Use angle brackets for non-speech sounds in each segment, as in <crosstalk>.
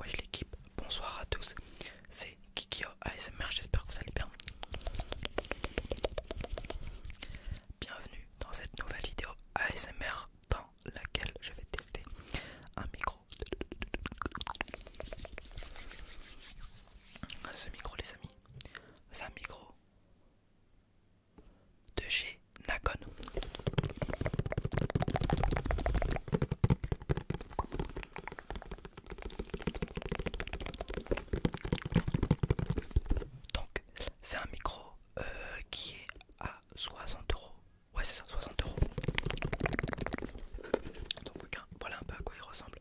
Ouais l'équipe, bonsoir à tous. Kikio ASMR, j'espère que vous allez bien. Bienvenue dans cette nouvelle vidéo ASMR dans laquelle je vais tester un micro. Ce micro les amis, c'est un micro de chez Nakon. Donc, c'est un micro euh, qui est à 60 euros. Ouais, c'est ça, 60 euros. Donc, voilà un peu à quoi il ressemble.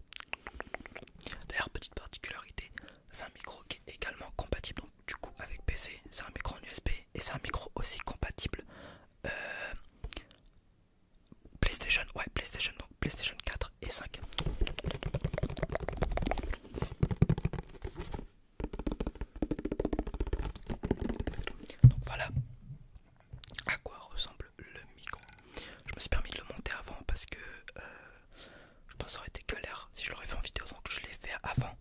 D'ailleurs, petite particularité, c'est un micro qui est également compatible du coup avec PC. C'est un micro en USB et c'est un micro aussi compatible euh, PlayStation, ouais, PlayStation, donc PlayStation 4 et 5. Donc voilà à quoi ressemble le micro. Je me suis permis de le monter avant parce que euh, je pense que ça aurait été galère si je l'aurais fait en vidéo, donc je l'ai fait avant.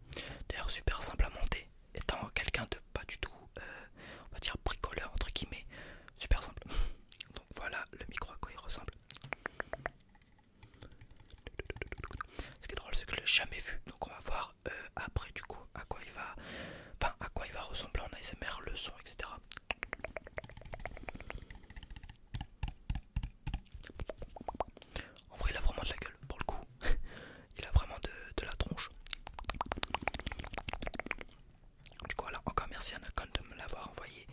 D'ailleurs, super simple à monter, étant quelqu'un de pas du tout, euh, on va dire bricoleur entre guillemets. Super simple. Donc voilà le micro à quoi il ressemble. Ce qui est drôle, c'est que je l'ai jamais vu. Donc on va voir euh, après du coup à quoi il va, enfin à quoi il va ressembler en ASMR, le son, etc. En vrai, il a vraiment de la gueule pour le coup. <laughs> Il a vraiment de, de la tronche. Du coup, voilà, encore merci à Nakon de me l'avoir envoyé.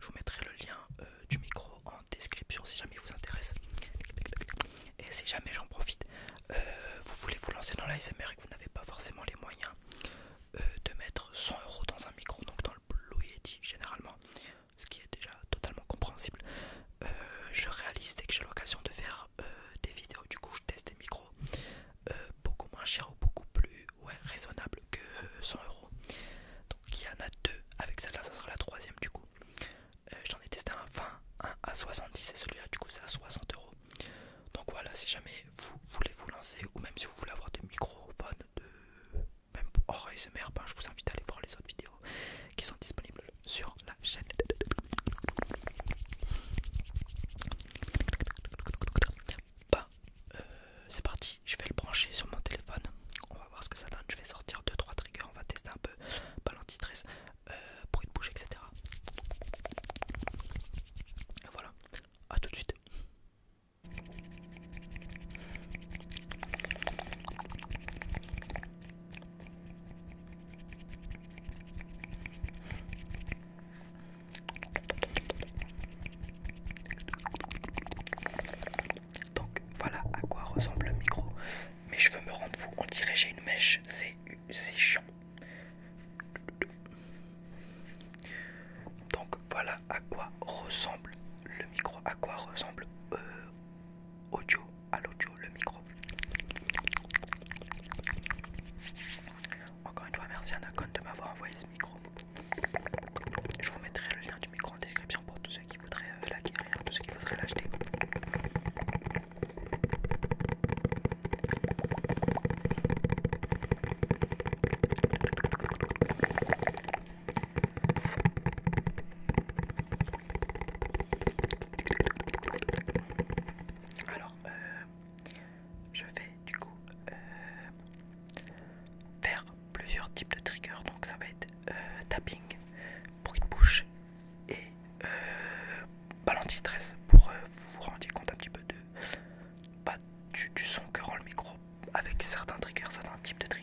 Je vous mettrai le lien euh, du micro en description si jamais il vous intéresse. Et si jamais j'en profite, euh, vous voulez vous lancer dans l'ASMR et que vous n'avez pas forcément les moyens euh, de mettre 100 euros dans un micro, donc dans le Blue Yeti généralement, ce qui est déjà totalement compréhensible. je réalise dès que j'ai l'occasion de faire des vidéos, du coup je teste des micros euh, beaucoup moins cher ou beaucoup plus ouais, raisonnable que 100 euh, euros. Donc il y en a deux avec celle-là, ça sera la troisième du coup. Euh, j'en ai testé un 20, un à 70 et celui-là du coup c'est à 60 euros. Donc voilà, si jamais vous voulez vous lancer ou même si vous voulez avoir des microphones de même hors ASMR, ben, je vous invite à aller voir les autres vidéos qui sont disponibles sur la chaîne bah euh, c'est parti, je vais le brancher sur mon téléphone, on va voir ce que ça donne, je vais sortir 2-3 triggers, on va tester un peu, pas l'antistress, euh, bruit de bouche, etc. Et voilà, à tout de suite. Donc voilà à quoi ressemble le micro. mais je veux me rendre fou, on dirait j'ai une mèche, c'est chiant. Donc voilà à quoi ressemble le micro, à quoi ressemble euh, audio, à l'audio, le micro. Encore une fois, merci à Nacon de m'avoir envoyé ce micro. Je vous mettrai le lien du micro en description pour tous ceux qui voudraient euh, l'acquérir, tous ceux qui voudraient l'acheter. Alors, euh, je vais du coup euh, faire plusieurs types de triggers. Donc ça va être euh, tapping, bruit de bouche et euh, stress pour euh, vous rendre compte un petit peu de, bah, du son que rend le micro avec certains triggers, certains types de triggers.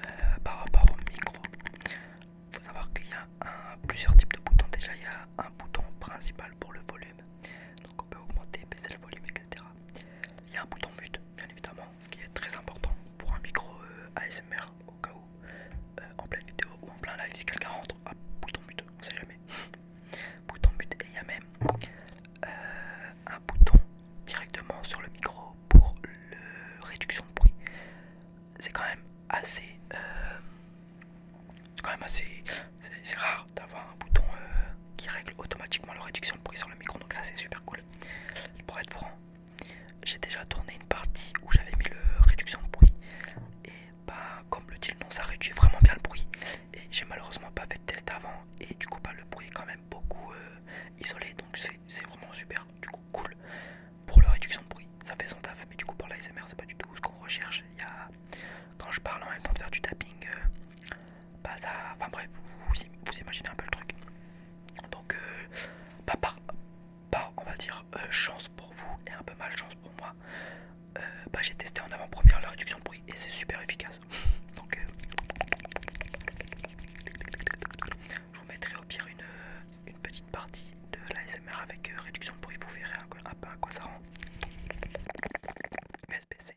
Euh, par rapport au micro, faut savoir qu'il y a plusieurs types de boutons. Déjà, il y a un bouton principal pour le volume, donc on peut augmenter, baisser le volume, il y a un bouton mute, bien évidemment, ce qui est très important pour un micro euh, ASMR au cas où, euh, en pleine vidéo ou en plein live, si quelqu'un rentre, bouton mute, on sait jamais. <laughs> bouton mute, et il y a même euh, un bouton directement sur le micro pour la réduction de bruit. C'est quand même assez. c'est quand même assez. C'est rare d'avoir un bouton qui règle automatiquement la réduction de bruit sur le micro, donc ça c'est super cool. Pour être franc, j'ai déjà tourné une partie où j'avais mis la réduction de bruit, et bah, comme le dit le nom, ça réduit vraiment bien le bruit. Et j'ai malheureusement pas fait de test avant, et du coup, bah, le bruit est quand même beaucoup euh, isolé, donc c'est vraiment super, du coup, cool pour la réduction de bruit. Ça fait son taf, mais du coup, pour l'ASMR, c'est pas du tout ce qu'on recherche. Il y quand je parle en même temps de faire du tapping, euh, bah ça. Enfin bref, vous, imaginez un peu le truc. Donc, euh, pas par, on va dire, euh, chance pour vous et un peu mal chance pour moi, euh, bah, j'ai testé en avant-première la réduction de bruit et c'est super efficace. <laughs> Donc, je vous mettrai au pire une, petite partie de l'ASMR avec réduction de bruit, vous verrez un, peu à quoi ça rend. SBC,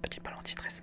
Petite ballon anti-stress.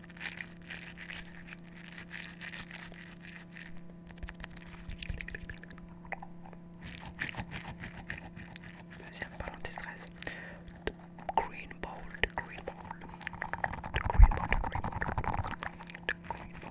Vas-y, un de green ball, the green ball, the green ball, the green ball, green ball.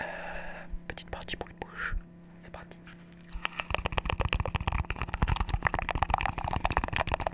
Euh, petite partie pour une bouche, c'est parti.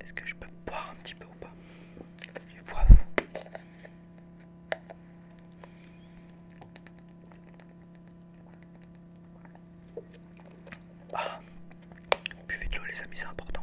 Est-ce que je peux boire un petit peu ou pas ah, buvez de l'eau les amis, c'est important.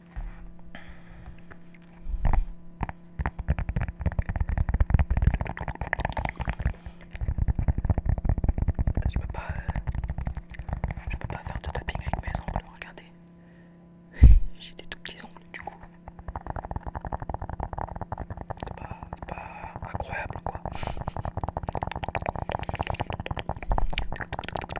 Euh, je peux pas, faire de tapping avec mes ongles, regardez. <laughs> J'ai des tout petits ongles du coup. C'est pas incroyable quoi. <laughs>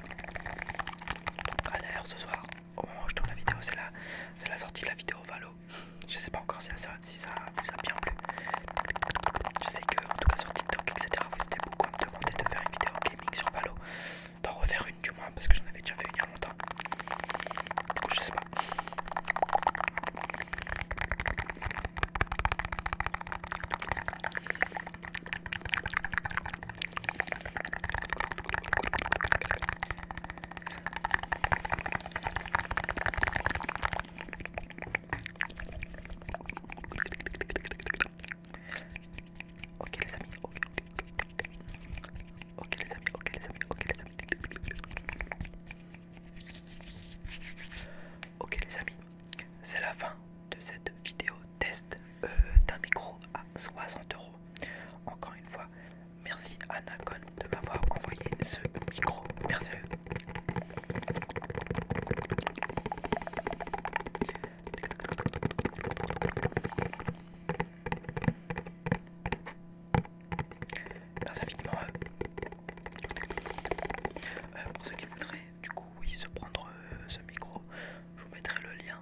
Allez, d'ailleurs ce soir, au moment où je tourne la vidéo, c'est la, sortie de la vidéo Valo. Je sais pas encore si, ça, vous a bien plu. Je sais que, en tout cas sur TikTok, etc., vous étiez beaucoup à me demander de faire une vidéo gaming sur Valo. D'en refaire une du moins, parce que j'en avais déjà fait une il y a longtemps. Du coup, je sais pas. Ok les amis, ok, ok les amis, ok les amis, ok les amis, ok les amis, c'est la fin de cette vidéo test euh, d'un micro à 60 euros. Encore une fois, merci à de m'avoir envoyé ce micro. Merci à eux. Merci infiniment euh, euh, pour ceux qui voudraient du coup oui se prendre euh, ce micro je vous mettrai le lien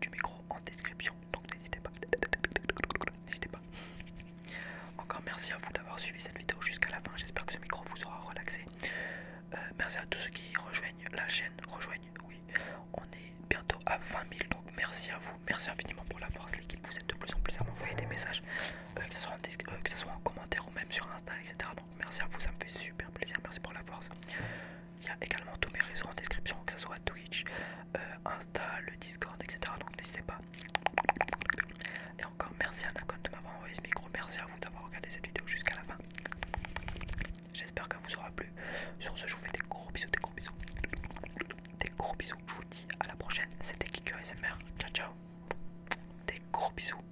du, micro en description donc n'hésitez pas n'hésitez pas encore merci à vous d'avoir suivi cette vidéo jusqu'à la fin j'espère que ce micro vous aura relaxé euh, merci à tous ceux qui rejoignent la chaîne rejoignent oui on est bientôt à 20 000 donc merci à vous merci infiniment pour la force l'équipe vous êtes de plus en plus à m'envoyer des messages euh, que ce soit en, commentaire ou même sur Insta etc Merci à vous, ça me fait super plaisir. Merci pour la force. Il y a également tous mes réseaux en description, que ce soit Twitch, euh, Insta, le Discord, etc. Donc n'hésitez pas. Et encore merci à Nakon de m'avoir envoyé ce micro. Merci à vous d'avoir regardé cette vidéo jusqu'à la fin. J'espère qu'elle vous aura plu. Sur ce, je vous fais des gros bisous, des gros bisous. Des gros bisous. Je vous dis à la prochaine. C'était Kiku ASMR. Ciao, ciao. Des gros bisous.